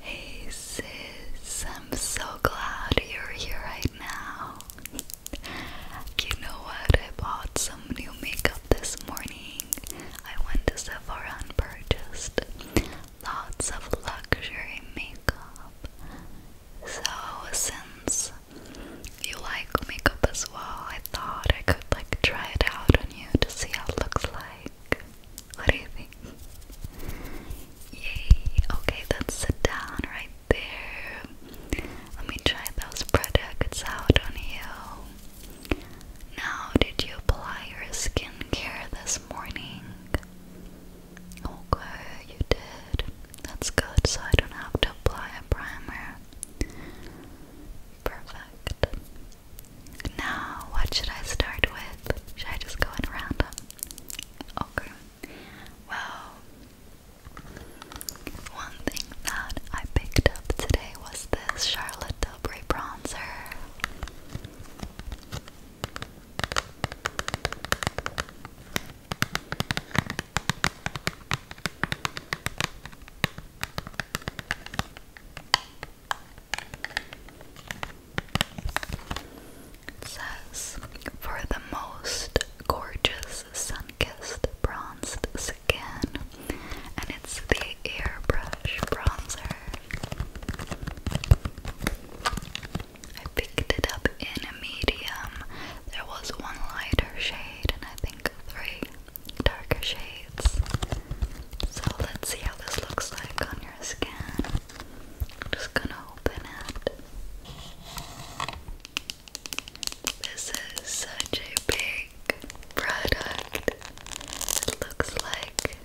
Hey sis, I'm so glad you're here right now. you know what? I bought some new makeup this morning. I went to Sephora and purchased lots of luxury makeup. So, since you like makeup as well, I thought I could like try it out on you to see how it looks like. What do you think? Yay! Okay, let sit down right there. Let me try those products out on you. Now, did you apply your skincare this morning? Okay, you did. That's good, so I don't have to apply a primer. Perfect. Now, what should I start with? Should I just go in random? Okay. Well, one thing that I picked up today was this Charlotte Tilbury bronzer says, for the most gorgeous sun-kissed bronzed skin, and it's the airbrush bronzer. I picked it up in a medium. There was one lighter shade and I think three darker shades. So let's see how this looks like on your skin. just gonna open it. This is such a big product. It looks like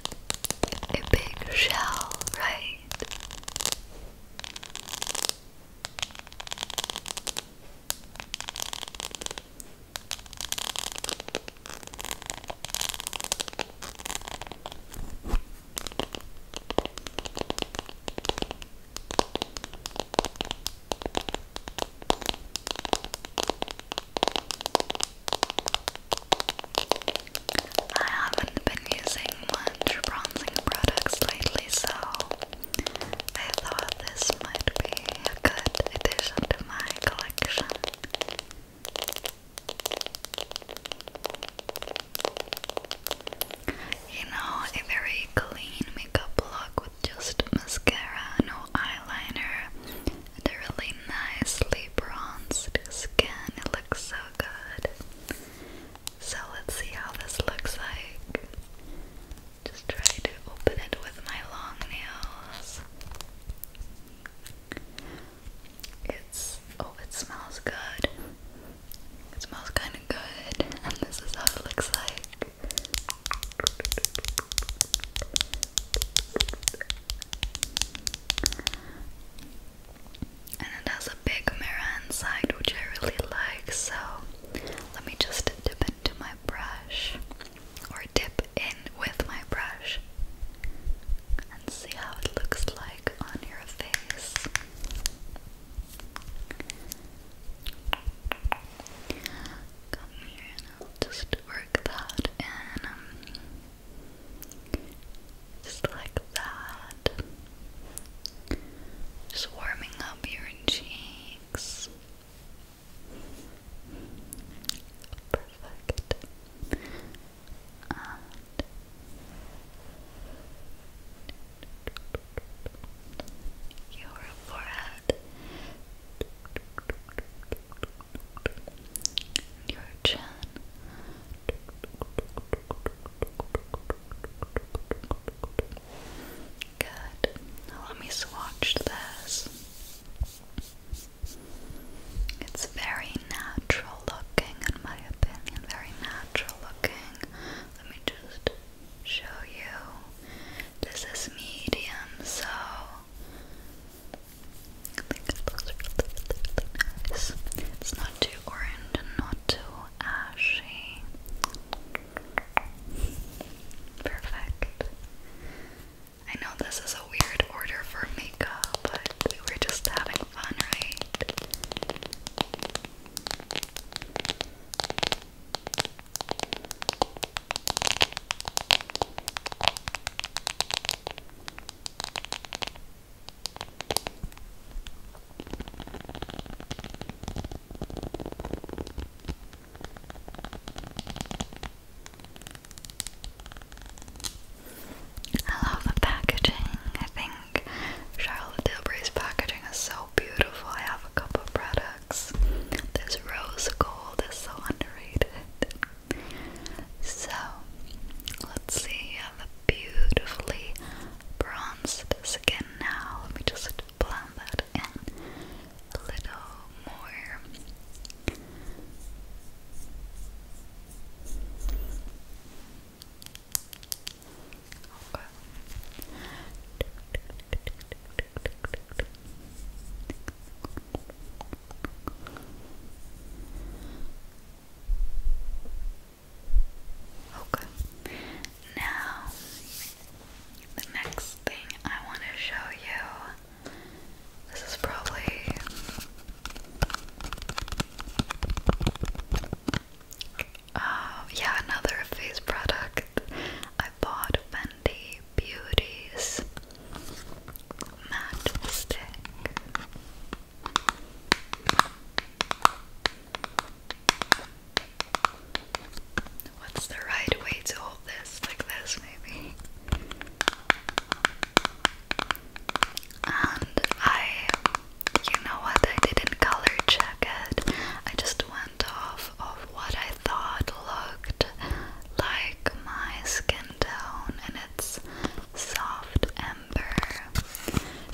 a big shell, right? I haven't been using much bronzing products lately, so I thought this might be a good addition to my collection. You know, a very clean makeup look with just mascara, no eyeliner, and really nicely bronzed skin. looks so good. So let's see how this looks like. Just try to open it with my long nails. It's oh, it smells good. It smells kind of good, and this is how it looks like. And it has a big mirror inside, which I really like. So let me just dip into my brush or dip in with my brush and see how it looks like on your face. Come here and I'll just work that in. just like that. Just warming up your cheeks. Perfect. your forehead, your chin. Good. Now let me swatch this. It's very natural looking, in my opinion. Very natural looking. Let me just show you. This is medium, so It's not too orange and not too ashy. Perfect. I know this is a weird order for makeup, but we were just having fun, right? I love the packaging. I think Charlotte Tilbury's packaging is so beautiful. I have a couple of products. This rose gold is so underrated. So, let's see. I have a beautifully bronzed skin now. Let me just blend that in a little more. Okay. Okay. Now the next thing I want to show you this is probably uh, yeah, another face product. I bought Fenty Beauty's matte What's the right way to hold this? Like this, maybe. And I, you know what, I didn't color check it. I just went off of what I thought looked like my skin tone, and it's soft ember.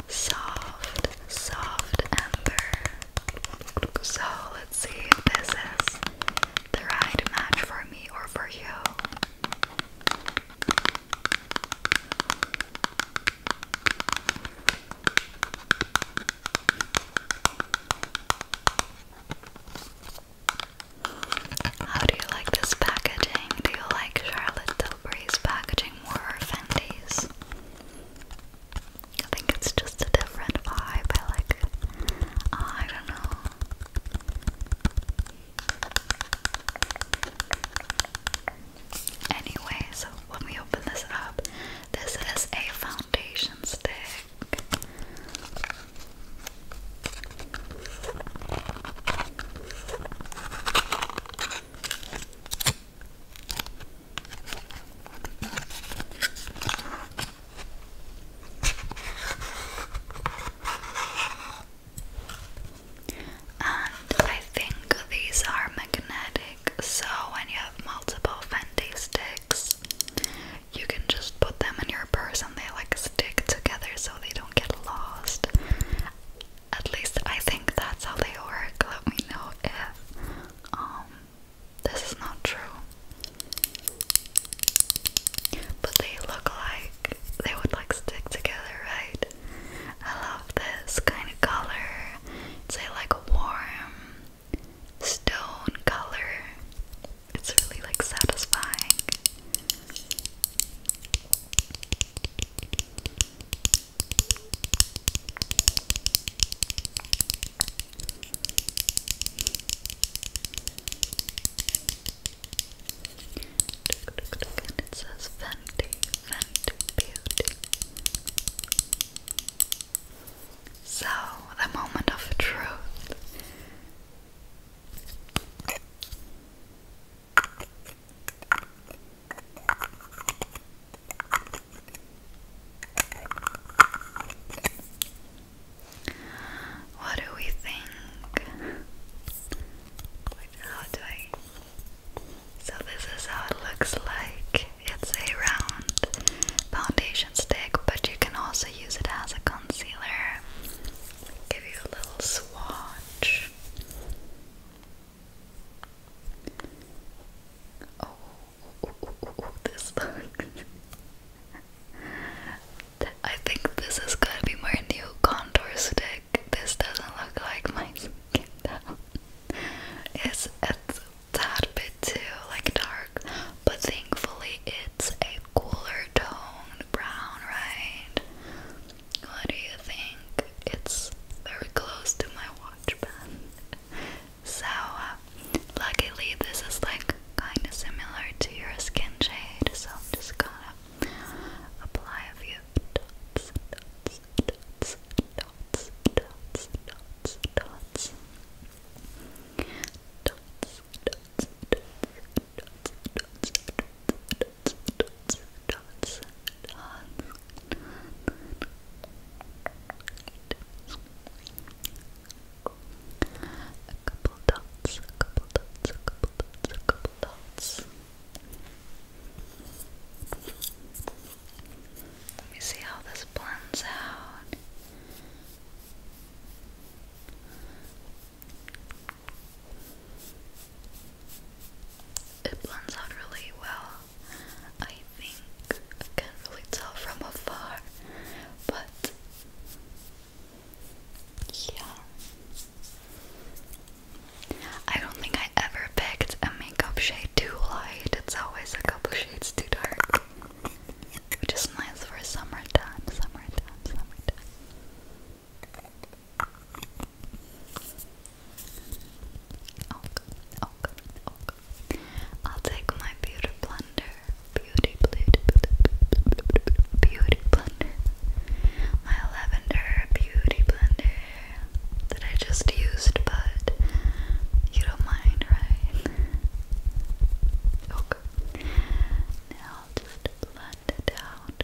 Soft, soft ember. So let's see if this is the right match for me or for you. How do you like this packaging? Do you like Charlotte Tilbury's packaging more or Fendi's? I think it's just a different vibe. like I don't know. Anyway, so let me open this up. This is a foundation stick. And I think these are magnetic, so when you have multiple Fendi sticks, you can just put them in your purse and they like stick together so they don't get lost. At least I think that's how they work. Let me know if um, this is not true. But they look like they would like stick together, right? I love this kind of color. It's like a warm stone color. It's really like satisfying. And it says Fenty, Beauty. So, the moment of truth. What do we think? how do I? So this is how it looks like. It's a round foundation stick, but you can also use it as a concealer. Give you a little swatch. Oh, this I think this is gonna be my new contour stick. This doesn't look like my skin tone. It's a tad bit too like dark, but thankfully it's a cooler tone brown, right? What do you think? It's very close to my watch So, uh, luckily, this is like kind of similar to your skin shade, so I'm just gonna apply a few dots, dots, dots, dots, dots, dots, dots, dots, dots, dots, dots, dots, dots, dots a couple dots, a couple dots, a couple dots, a couple dots. Let me see how this blends out. It blends out really well. I think I can't really tell from afar, but yeah. I don't think I ever picked a makeup shade too light. It's always a couple shades too dark. Which is nice for summertime, summertime, summertime. Okay, okay, okay. I'll take my beauty blender, beauty beauty beauty blender, my lavender beauty blender that I just used, but you don't mind, right? Okay. Now just blend it out.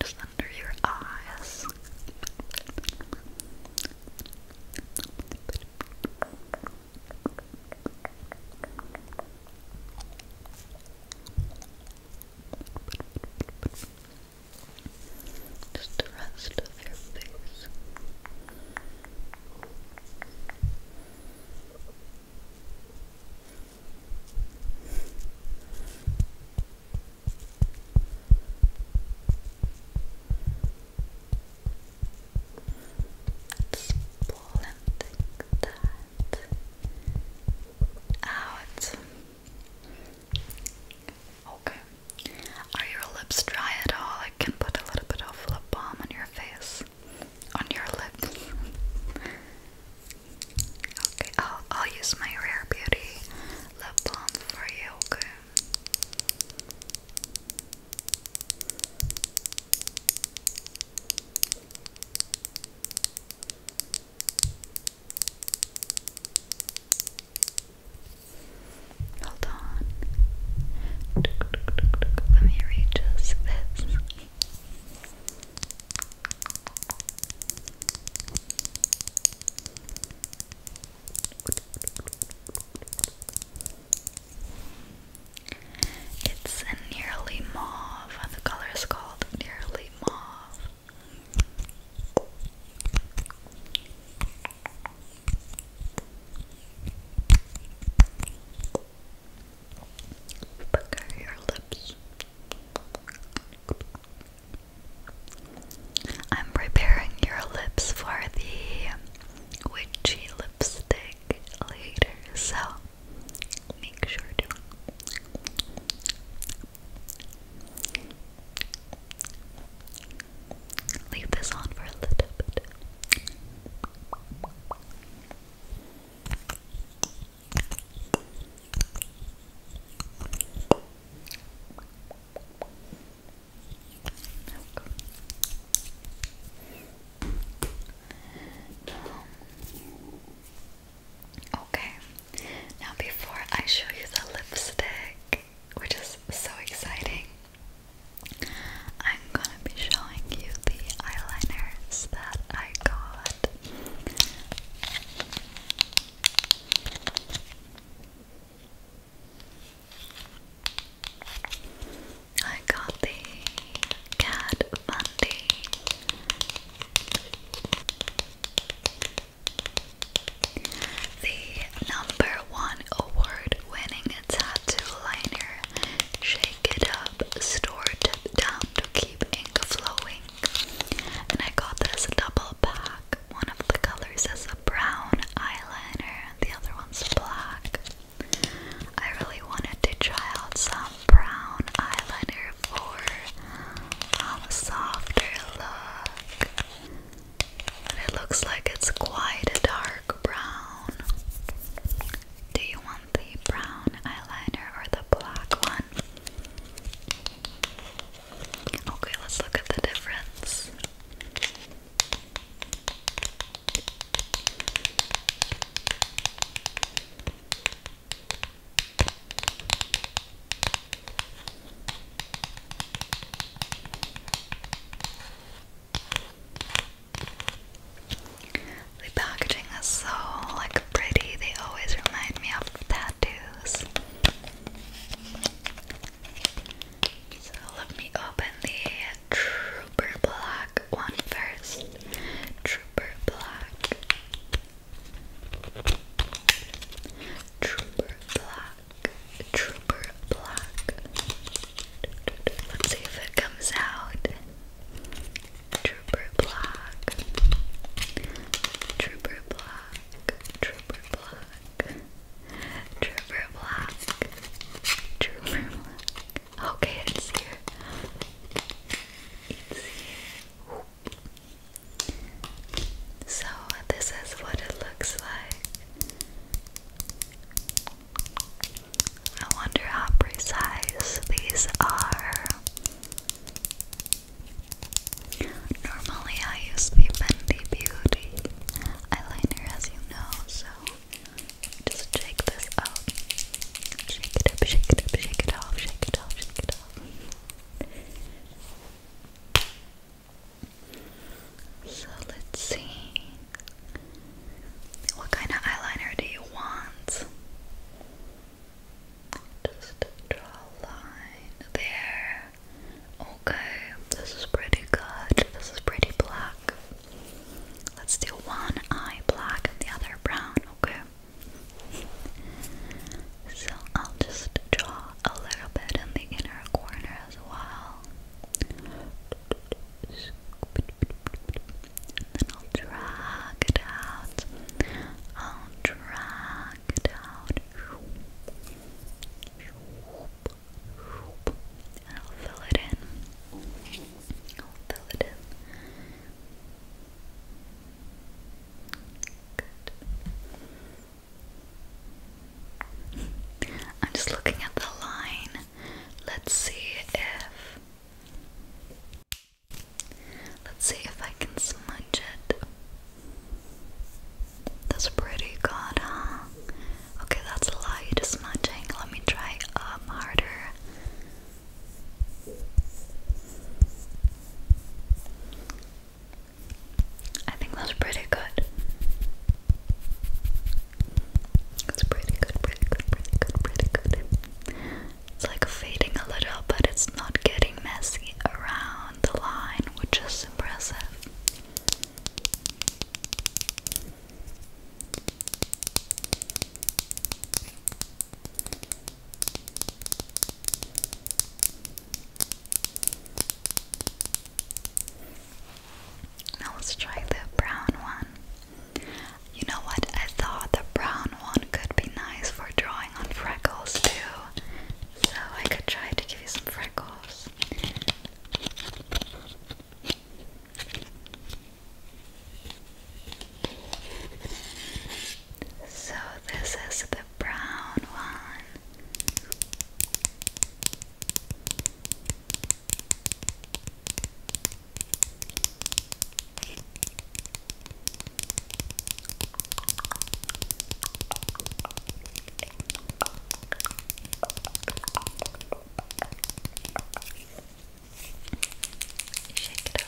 just under your eyes. Just the rest of your face pull out. Okay. Are your lips dry at all? I can put a little bit of lip balm on your face on your lips. okay, I'll, I'll use my Rare Beauty lip balm for you, Hold on. Let me readjust this. It's a nearly mauve, and the color is called nearly mauve pucker your lips. I'm preparing your lips for the witchy lipstick later, so make sure to. Leave this on for a little bit. Milk. Um, okay, now before I show you the lipstick, which is so exciting, I'm gonna be showing you the eyeliners that I got that. I got the Cat Bundy. The number one award winning tattoo liner. Shake it up, store tip down to keep ink flowing. And I got this double pack. One of the colors is a brown eyeliner, and the other one's black. I really wanted to try out some brown eyeliner for um, a softer look. But it looks like it's quite a dark brown. Do you want the brown eyeliner or the black one. Okay, let's look at the difference. The packaging is so like pretty. They always remind me of tattoos. So let me open the Trooper Black one first. Trooper Black. Trooper Black. Trooper Black. Let's see if it comes out. Trooper Black, Trooper Black, Trooper Black, Trooper Black, Trooper Black. Okay, it's here. It's So this is what it looks like. I wonder how precise these are. Normally, I use the Bendy Beauty eyeliner, as you know, so just shake this up. Shake it up, shake it up, shake it off, shake it off, shake it off. So let's see. What kind of eyeliner do you want? Just draw a line there. Okay, this is pretty good. This is pretty black. Let's do one eye black and the other brown, okay? so I'll just draw a little bit in the inner corner as well then I'll drag it out. I'll drag it out. I'll fill it in. I'll fill it in. I'm just looking at the line. Let's see if. Let's see if I can smudge it. That's pretty good, huh? Okay, that's light smudging. Let me try um harder. I think that's pretty good. That's pretty good, pretty good, pretty good, pretty good. It's like fading a little, but it's not getting messy around the line, which is impressive. Now let's try the brown one. You know what? I thought the brown one could be nice for drawing on freckles too. So I could try to give you some freckles. So this is the brown one. Shake it up,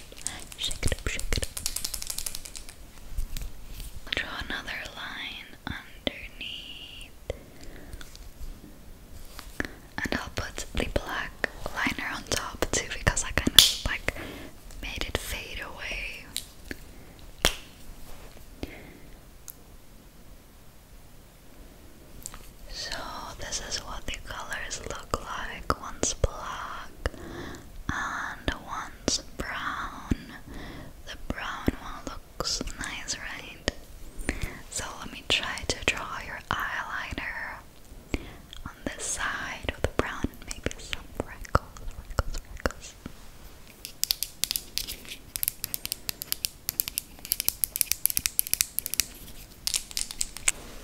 shake it up, shake it up. Draw another line underneath and I'll put the black liner on top too because I kind of like made it fade away. So, this is what the colors look like one's black and one's brown. The brown one looks nice, right? So, let me try to draw your eyeliner on this side of the brown and maybe some freckles, freckles, freckles.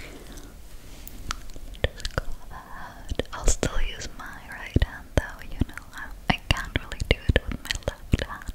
Just go that. I'll still use my right hand though, you know, I, I can't really do it with my left hand.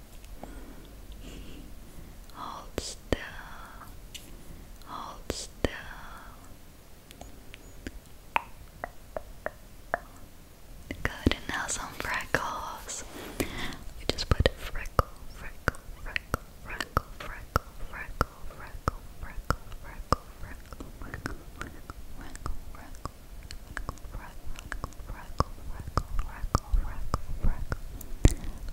Hold still. Hold still. Good, now some freckles. We just put freckle, freckle, freckle, freckle, freckle, freckle, freckle, freckle, freckle, freckle, freckle, freckle, freckle, freckle. Freckle, freckle, freckle, freckle, freckle, freckle, freckle,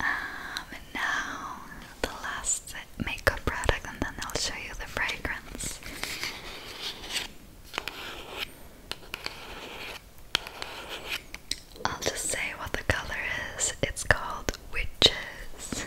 Um, and now the last makeup product, and then I'll show you the fragrance. I'll just say what the color is. It's called Witches.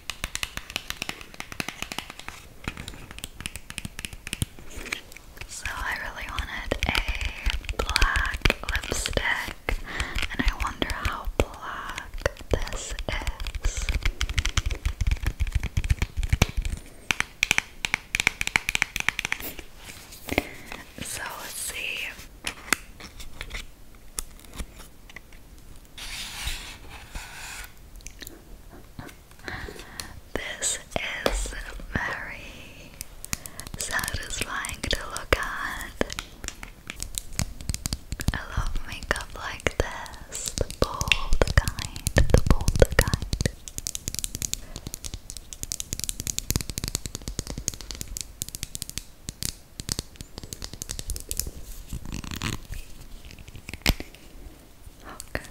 So I really wanted a black lipstick and I wonder how black this is. So let's see. This is very satisfying to look at. I love makeup like this, the bold kind, the bold kind. Okay,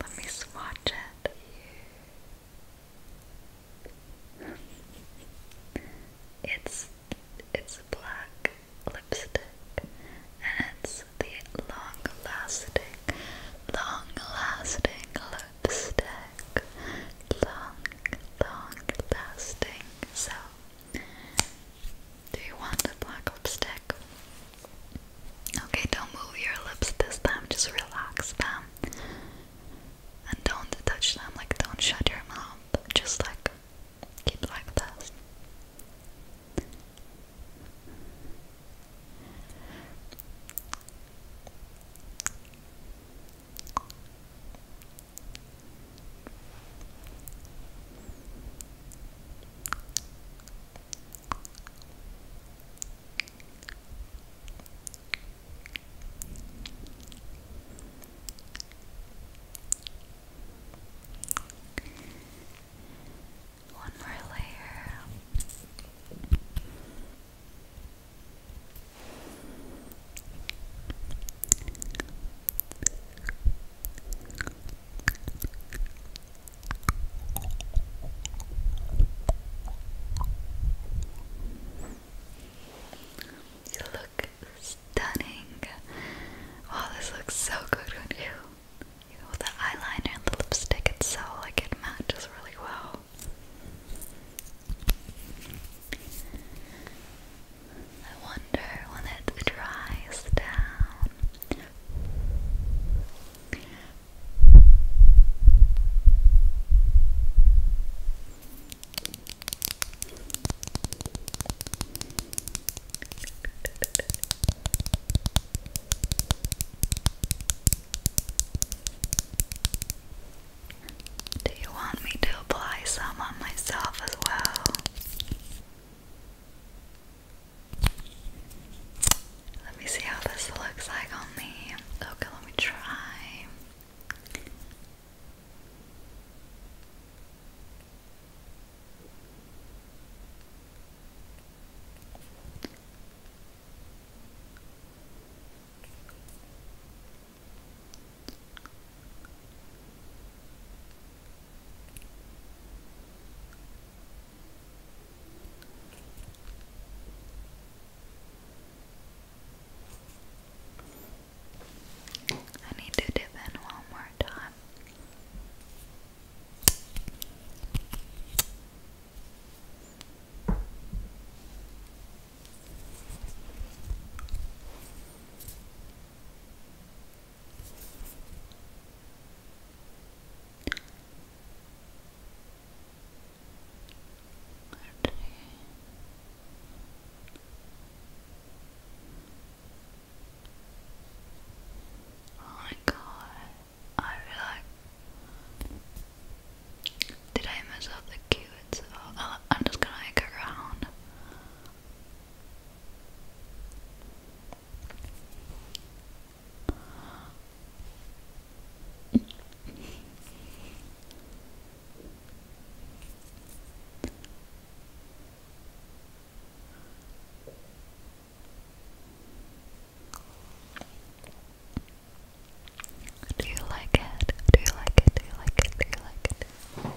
let me swatch it. It's it's black lipstick, and it's the long-lasting, long-lasting lipstick, long, long-lasting. So do you want a black lipstick? Okay, don't move your lips this time, just relax them. And don't touch them, like don't shut your mouth. Just like keep like this. One more layer. You look stunning. Wow, this looks so good on you. the eyeliner and the lipstick, it's so like it matches really well. I wonder when it dries down down. Do you want me to apply some on myself as well? Let me see how this looks like on me. Okay, let me try. I need to dip in one more time. Oh my god, I feel like. Did I mess up the cue? Oh, I'm just gonna make it do you like it? Do you like it? Do you like it? Do you like it?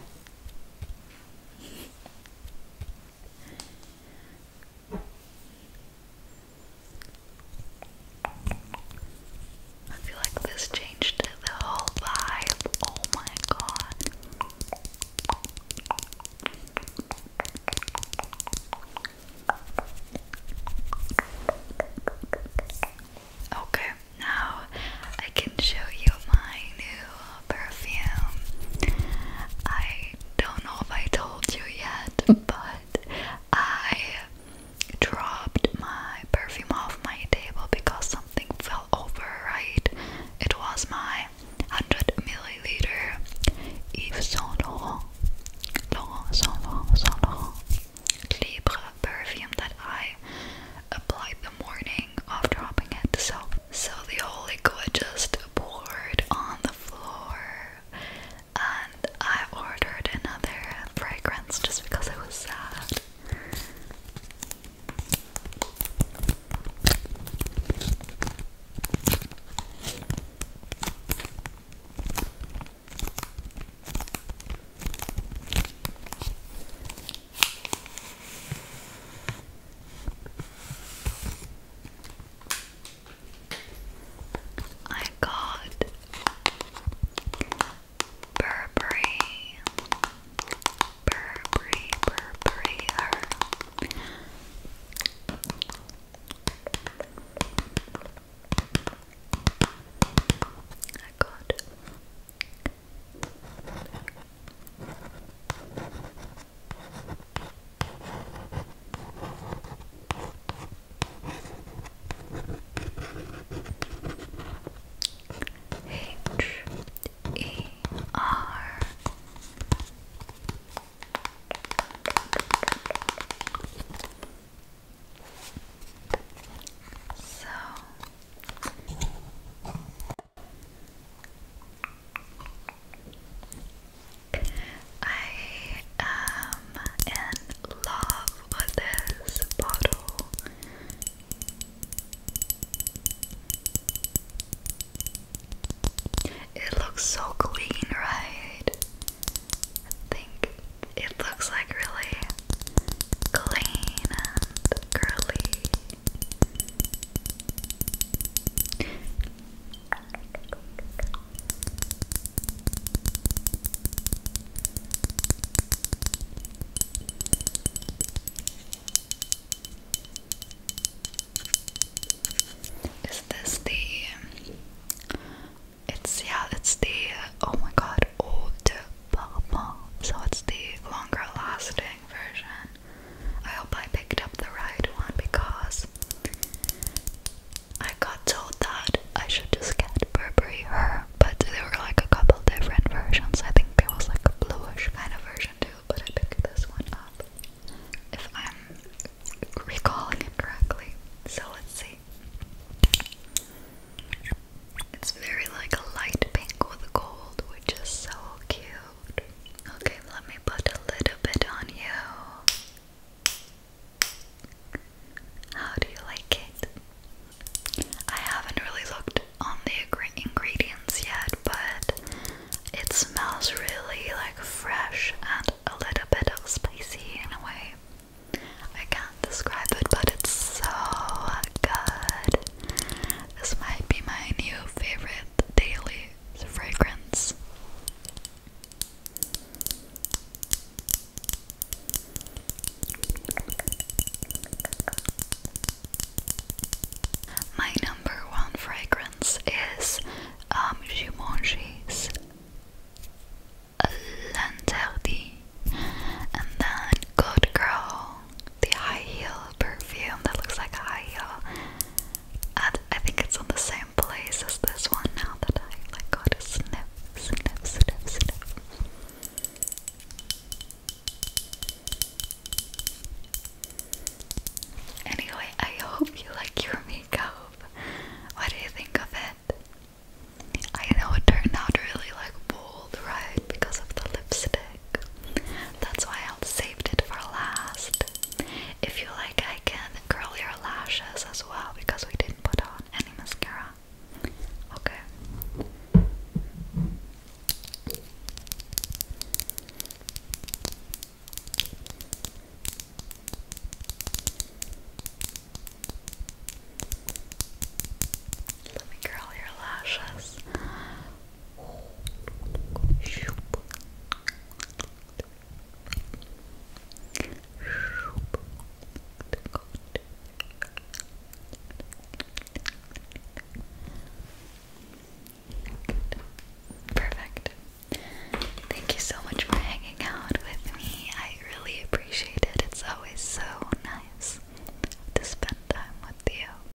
I feel like this changed the whole vibe. Oh my god. Okay, now I can show you my new perfume. I don't know if I told you yet, but I dropped my perfume off my table because something fell over, right? It was my 100 milliliter Yves Saint Laurent, Saint Laurent, Saint Laurent Libre perfume that I applied the morning of dropping it. So so the holy liquid just poured on the floor, and I ordered another fragrance just because I was sad. I got Burberry, Burberry, Burberry. I got H E R So I am in love with this bottle. It looks so clean, right? I think it looks like really clean and girly. Is this the it's yeah, it's the oh my god, old Parfum. So it's the longer lasting version. I hope I picked up the right one because I got told that I should just get Burberry Her, but there were like a couple different versions. I think there was like a bluish kind of version too, but I picked this one up if I'm recalling it correctly. So let's see. It's very like a light pink with gold, which is so cute. Okay, let me put a little bit on you. How do you like it? I haven't really looked on the ingredients yet, but it smells really like fresh and a little bit of spicy in a way. I can't describe it, but it's so good. This might be my new favorite daily fragrance. My number one fragrance is um, Givenchy's and then Good Girl the high heel perfume that looks like a high heel. I think it's on the same place as this one now that I like oh got a sniff, sniff, sniff, sniff. Anyway, I hope you like your makeup. What do you think of it? I know it turned out really like bold, right? Because of the lipstick. That's why I saved it for last. If you like, I can curl your lashes as well because we didn't put on any mascara. Okay. Let me curl your lashes. Perfect. Thank you so much for hanging out with me. I really appreciate it. It's always so nice to spend time with you.